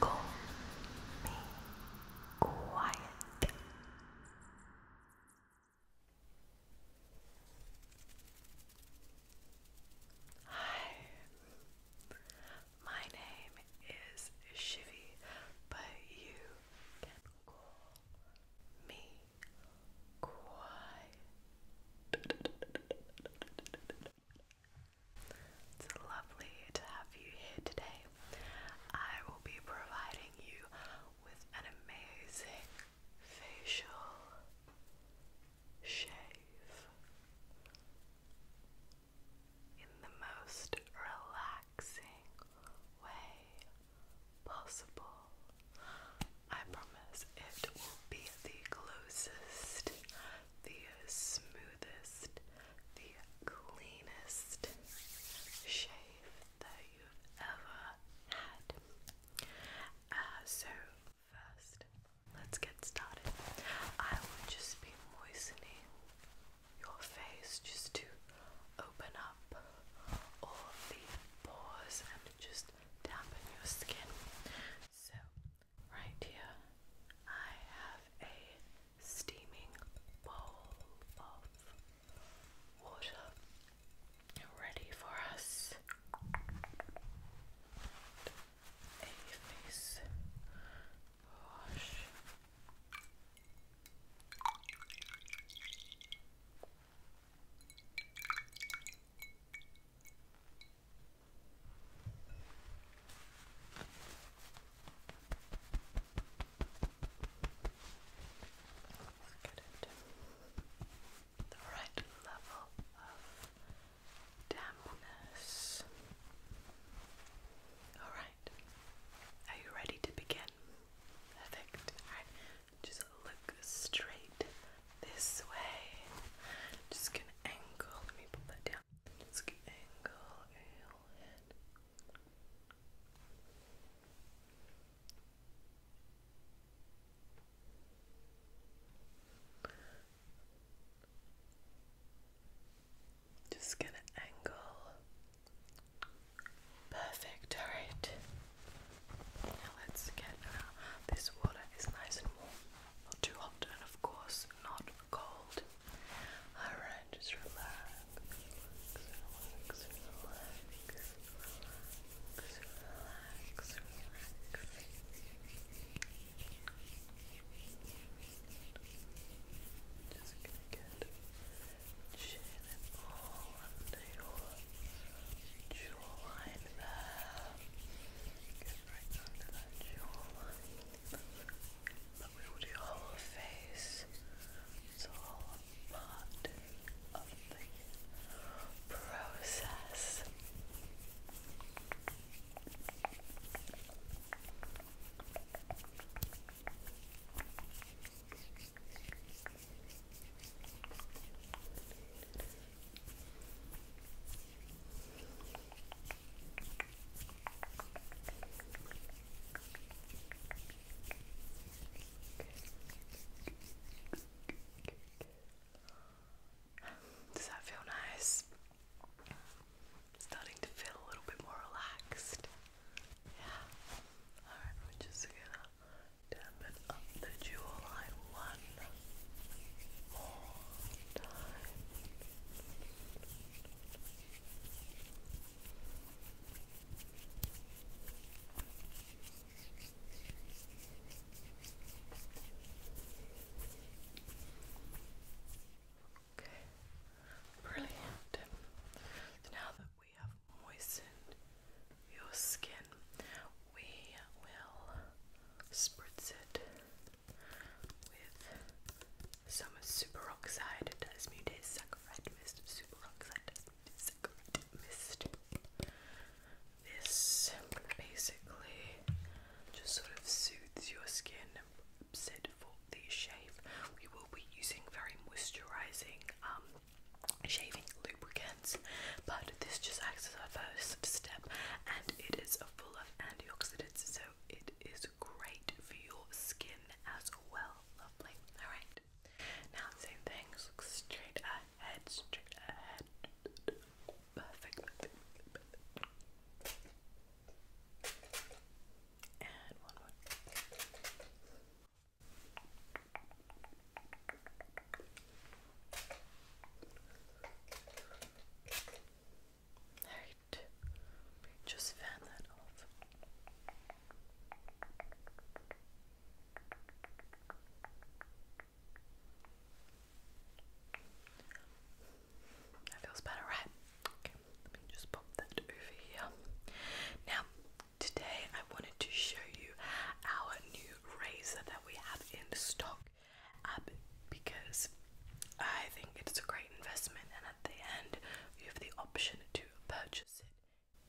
Call me quiet. Hi, my name is Shivy, but you can call me quiet. It's lovely to have you here today. I will be providing you with an amazing facial shave in the most relaxing way possible. I promise it will be the closest, the smoothest, the cleanest shave that you've ever had. Uh, so, first, let's get started. I will just be moistening your face just to open up all the pores and just dampen your skin. So, right here, I have a steaming bowl of water ready for us. A face wash the right level of dampness. Alright, are you ready to begin? Perfect. Alright, just look straight this way. Just gonna angle. Let me pull that down. Just gonna angle. Perfect, alright. Now let's get uh, this water is nice and warm, not too hot, and of course not cold. Alright, just relax, jawline there. Get right under that jawline. But we will do whole face. It's all part of the process. Does that feel nice? Starting to feel a little bit more relaxed. Yeah. Alright, we just going dampen up the jawline one more time. Okay, brilliant. now that we have moistened your skin. We will spritz it with some superoxide desmutate saccharide mist. Superoxide desmutate saccharide mist. This basically just sort of soothes your skin and for the shave. We will be using very moisturizing um, shaving lubricant sense, but this just acts as our first step and it is full of antioxidants, so it is great for your skin as well. Lovely. Alright. Now same thing, straight ahead, straight ahead. Perfect. Right. Just fan that off. That feels better, right? Okay, let me just pop that over here. Now, today I wanted to show you our new razor we have in stock because I think it's a great investment, and at the end, you have the option to purchase it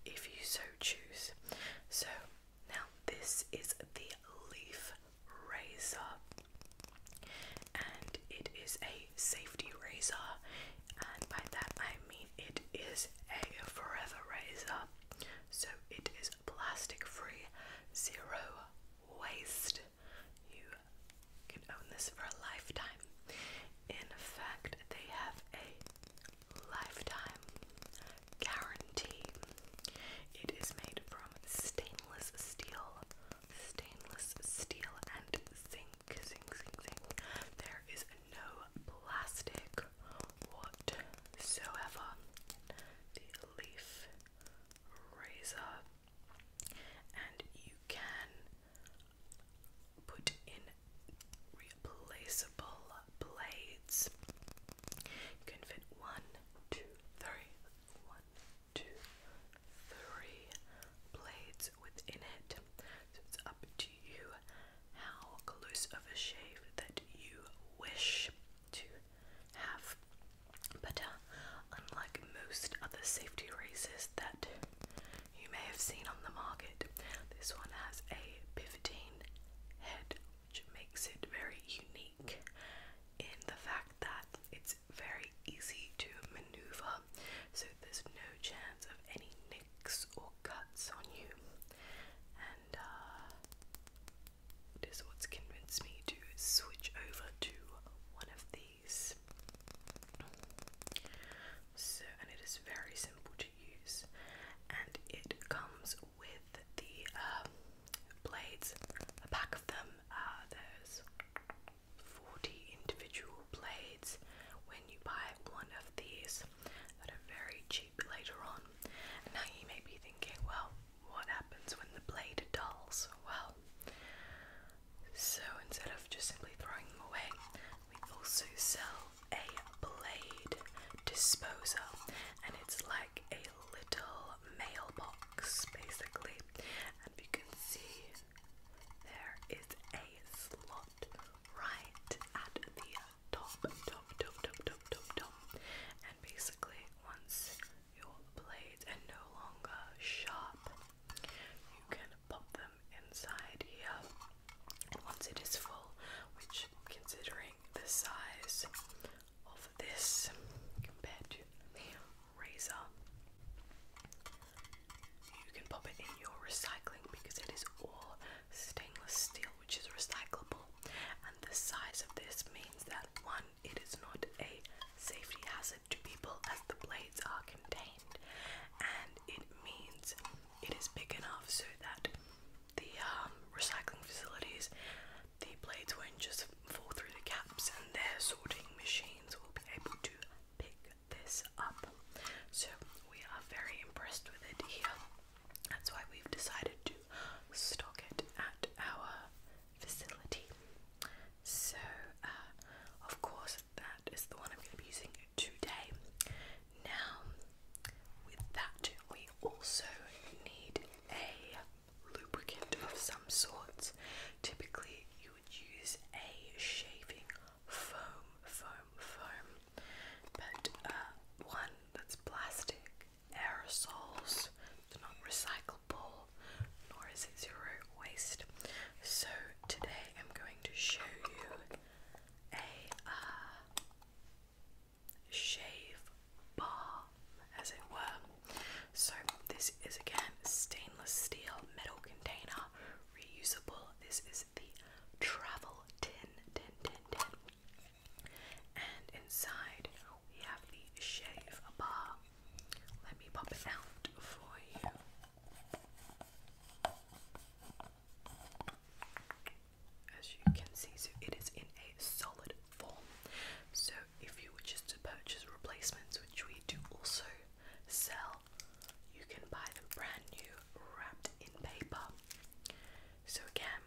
if you so choose. So, now this is the leaf razor, and it is a safety razor, and by that I mean it is a forever razor. So, it is plastic free, zero waste. You can own this for a lifetime. In fact, they have a lifetime guarantee. It is made from stainless steel, stainless steel, and zinc. Zinc, zinc, zinc. There is no plastic whatsoever. The leaf razor, and you can put in replaceable blades. You can fit one, two, three, one, two, three blades within it. So it's up to you how close of a shave that you wish to have. But uh, unlike most other safety razors that you may have seen on the market, this one has a pivoting head, which makes it very unique in the fact that it's very easy to maneuver, so there's no chance of any nicks or cuts on you and uh, it is what's convinced me to switch over to one of these. So, and it is very simple to use, and it comes with the um, blades, a pack of them. Uh, there's 40 individual blades when you buy one of these that are very cheap sheep later on. And now you may be thinking, well, what happens when the blade dulls? Well, so instead of just simply throwing them away, we also sell a blade disposer, and it's like a little mailbox basically. And you can see there is a slot right at the Dum dum dum dum dum dum top. And basically, once your blades are no longer sharp, you can pop them inside here. And once it is full, which considering the size of this compared to the razor, you can pop it in your recycling because it is all stainless steel which is recyclable, and the size of this means that one, it is not a safety hazard to people as the blades are contained, and it means it is big enough so that the um, recycling facilities, the blades won't just fall through the gaps, and their sorting machines will be able to pick this up. So we are very impressed with it here. That's why we've decided to stock it at our facility. So, uh, of course, that is the one I'm going to be using today. Now, with that, we also need a lubricant of some sorts. Typically, you would use a shaving foam, foam, foam. But uh, one that's plastic, aerosols, not recyclable, nor is it zero waste. So today I'm going to show you a uh, shave bar, as it were. So this is again stainless steel metal container, reusable. This is the travel tin, tin, tin, tin. And inside we have the shave bar. Let me pop it out for you. As you can see, so it is in a solid form. So if you wish to purchase replacements, which we do also sell, you can buy them brand new, wrapped in paper. So again,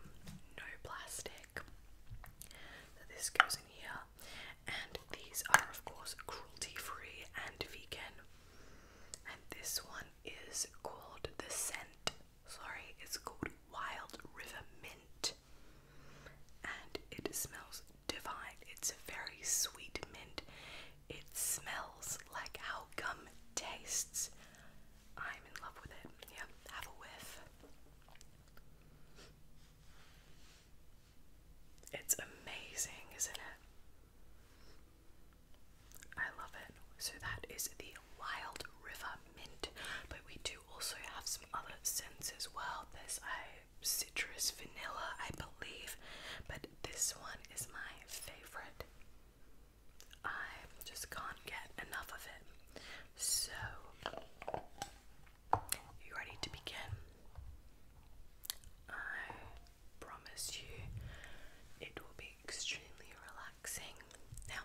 no plastic. this goes in here, and these are of course cruelty-free and vegan. And this one is called the scent. Sorry, it's called Wild River Mint, and it smells divine. It's a very sweet mint. It smells like how gum tastes. I'm in love with it. Yeah, have a whiff. It's amazing, isn't it? I love it. So that is the Wild River Mint, but we do also have some other scents as well. There's a citrus vanilla, I believe, but this one is my favorite. I just can't get enough of it. So, you ready to begin? I promise you it will be extremely relaxing. Now,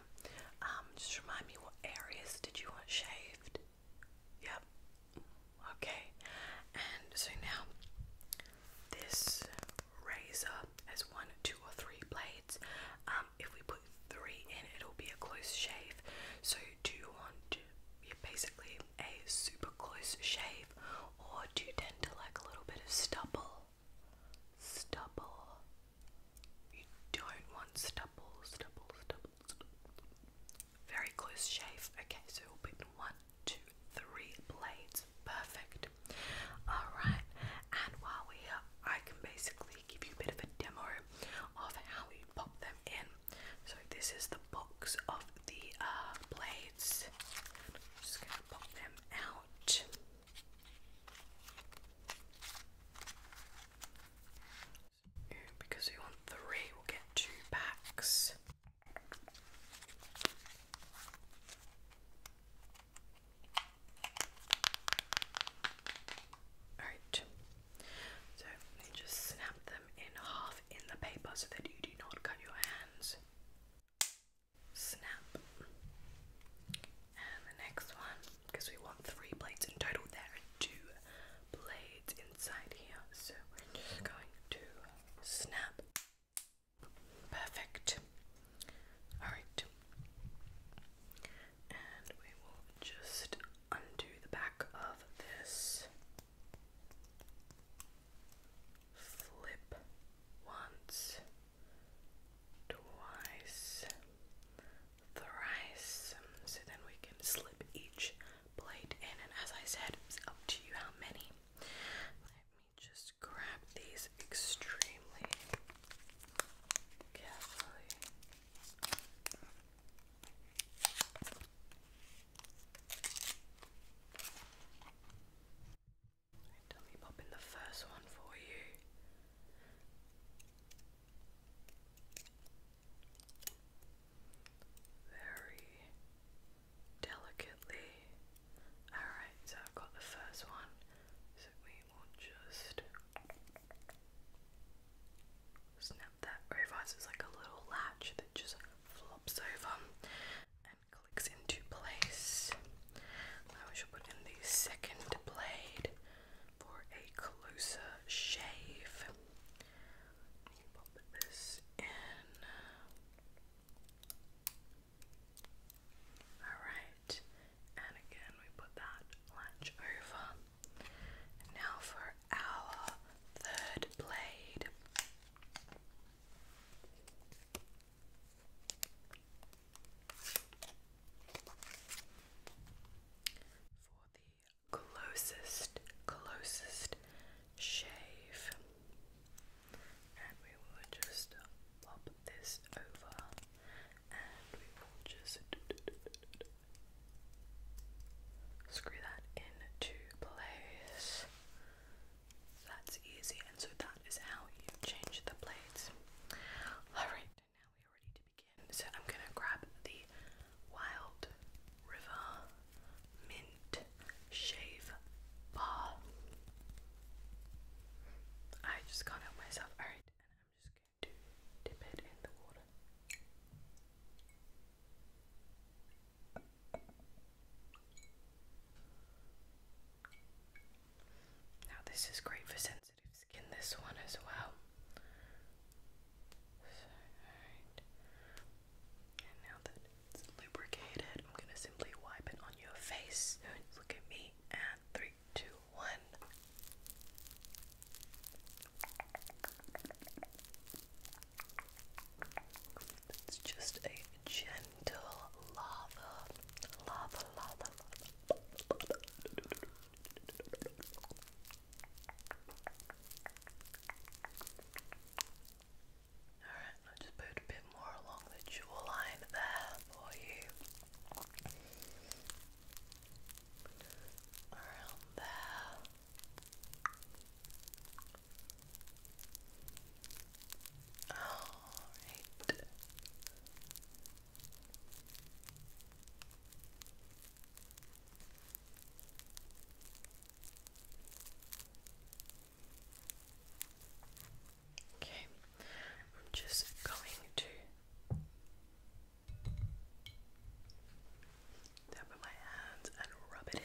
um, just remind me what areas did you want shaved? Yep. Okay. And so now, this razor has one, two, or three blades. Um, if we put three in, it'll be a close shave. So, do you want basically a super close shave, or do you tend to like a little bit of stubble? Stubble. You don't want stubble, stubble, stubble, stubble. Very close shave. Okay, so we'll put one, two, three blades perfect. Alright, and while we're here, I can basically give you a bit of a demo of how you pop them in. So, this is the box of the uh, blades. just going to pop them out. Because we want three, we'll get two packs. Alright, so just snap them in half in the paper so that you do not cut your hands. Snap. And the next one, because we want three plates in total, there are two blades inside here, so we're just going to snap. Perfect. Alright. And we will just undo the back of this. Flip once, twice, thrice. So then we can slip each blade in, and as I said, it's up to you how many just grab these extremely carefully. let me pop in the first one for you. Very delicately. Alright, so I've got the first one, so we will just snap that reverse. It's like a little latch that just flops over and clicks into place. I shall put in the second blade for a closer shave. Pop this in. Alright, and again we put that lunge over. now for our third blade. For the closest, closest shave and we will just pop this over and we will just screw that into place. That's easy, and so that is how you change the blades. Alright, now we are ready to begin. So I'm gonna grab the Wild River Mint shave bar. I just can't myself. Alright, and I'm just going to dip it in the water. Now, this is great for sensitive skin, this one as well. alright. And now that it's lubricated. I'm gonna simply wipe it on your face. Look at me. And three, two, one. It's just a gentle love, lava, lava, lava. Alright, i just put a bit more along the jawline there for you. Around there. Alright, Okay, I'm just going to tap with my hands and rub it in.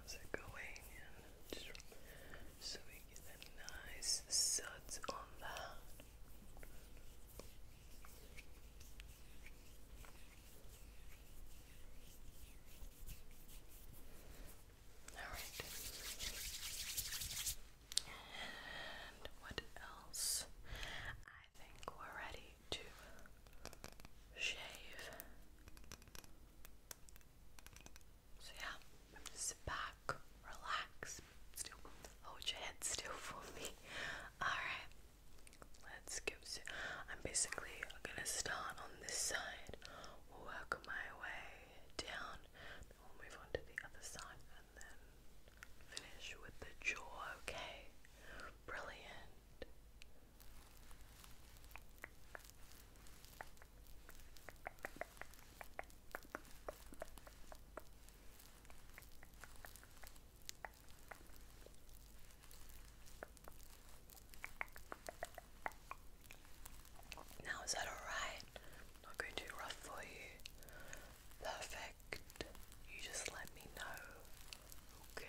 How's it going? Just so we get a nice suds on that. All right what else? I think we're ready to shave. So, yeah, sit back, relax, still hold your head still for me. Alright, let's give it. I'm basically gonna start on this side, work my way down move on to the other side and then finish with the jaw, okay? Brilliant. Now, is that all right? I'm not going to rough for you. Perfect. You just let me know. Okay.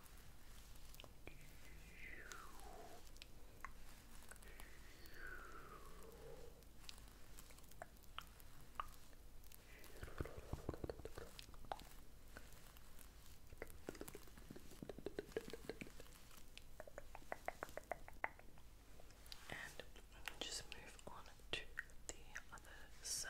And just move on to the other side.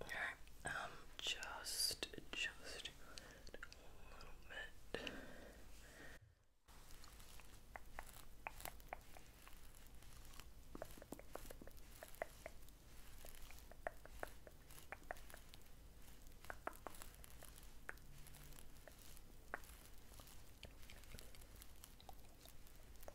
Alright, um, just, just a little bit.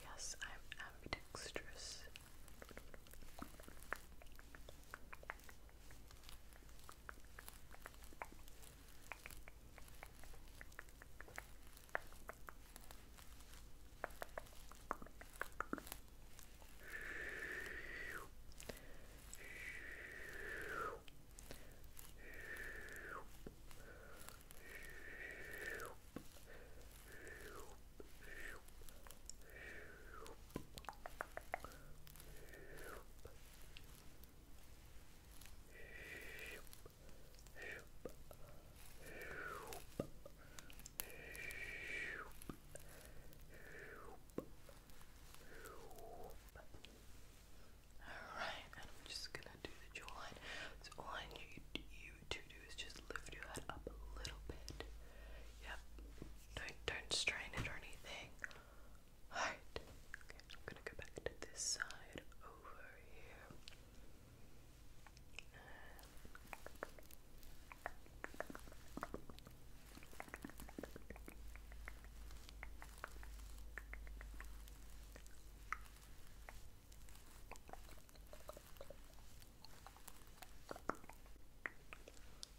Yes, I'm ambidextrous. All right, and I'm just gonna do the jawline. So all I you to do is just lift your head up a little bit. Yep. Don't don't strain it or anything. Alright. Okay, I'm gonna go back to this side over here.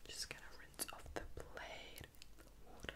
Just gonna rinse off the blade in water.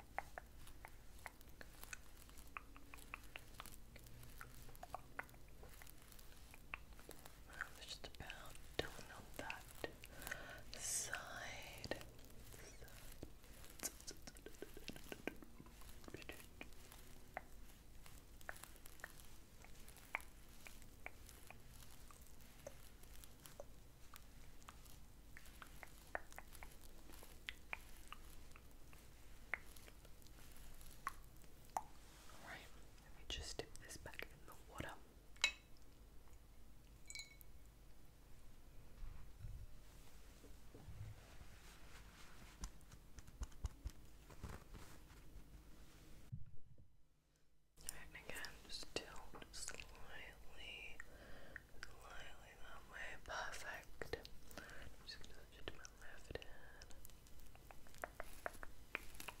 I was just about done on that side. Alright, let me just dip this back in the water. And again, just tilt slightly Slightly that way, perfect. I'm just gonna touch it to my left hand. Perfect.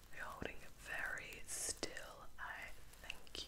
You're holding it very still. I thank you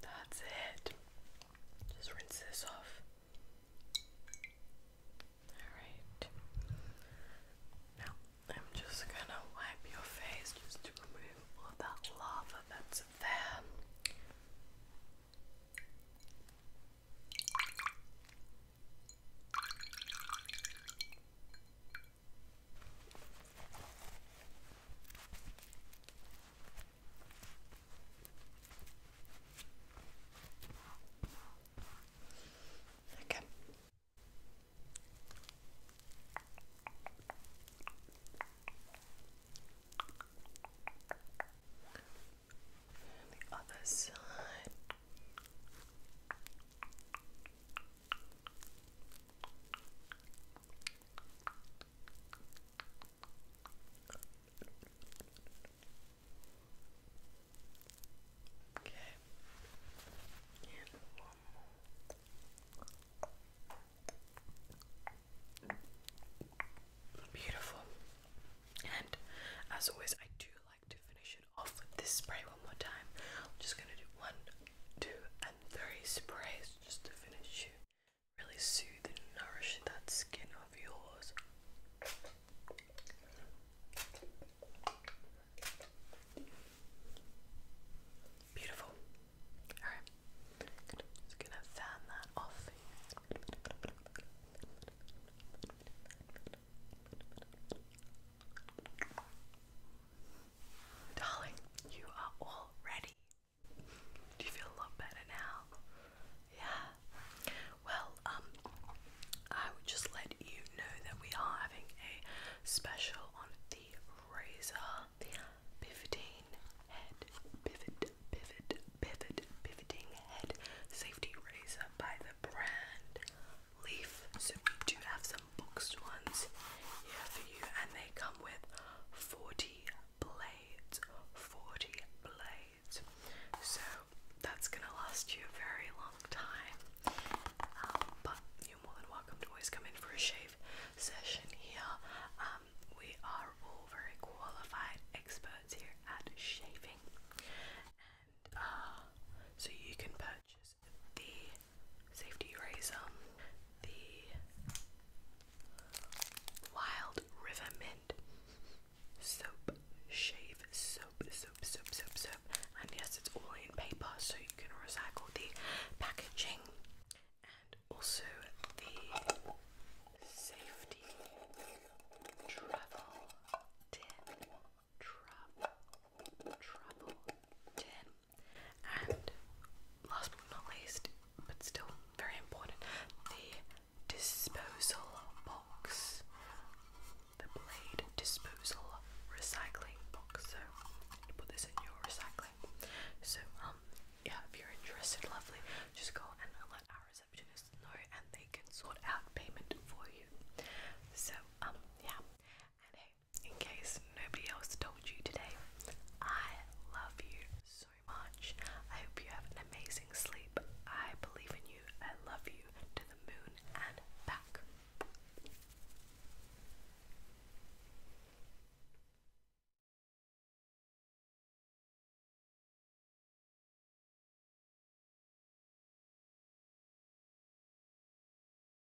That's it. Just rinse this off. Alright. Now, I'm just gonna wipe your face just to remove all that lava that's there. Okay. And the other side. Okay. Okay. And one more. Beautiful. And as always, I do like to finish it off with this spray one more time. I'm just gonna do one, two, and three sprays just to finish you, really soothe and nourish that skin of yours. Beautiful. Alright, just gonna fan that off. Darling, you are all ready. Do you feel a lot better now? Yeah. Well, um, I would just let you know that we are having a special on the razor, pivoting head, pivot, pivot, pivot, pivoting head safety razor by the brand Leaf. So we do have some boxed ones here for you, and they come with 40 blades. 40 blades. So that's gonna last you a very long time. Um, but you're more than welcome to always come in for a shave session here. Um, we are all very qualified experts here at shaving, and uh, so you can purchase is the Safety Erasum, the Wild River Mint Soap Shave Soap, Soap, Soap, Soap, Soap. And yes, it's all in paper, so you can recycle the packaging. And also the Safety Travel Tin. Travel, travel tin and last but not least, but still very important, the disposal box. The blade disposal recycling box. So put this in your recycling. So um, yeah, if you're interested, lovely, just go and let our receptionist know and they can sort out payment for you. So um, yeah in case nobody else told you today, I love you so much. I hope you have an amazing sleep. I believe in you. I love you to the moon and back.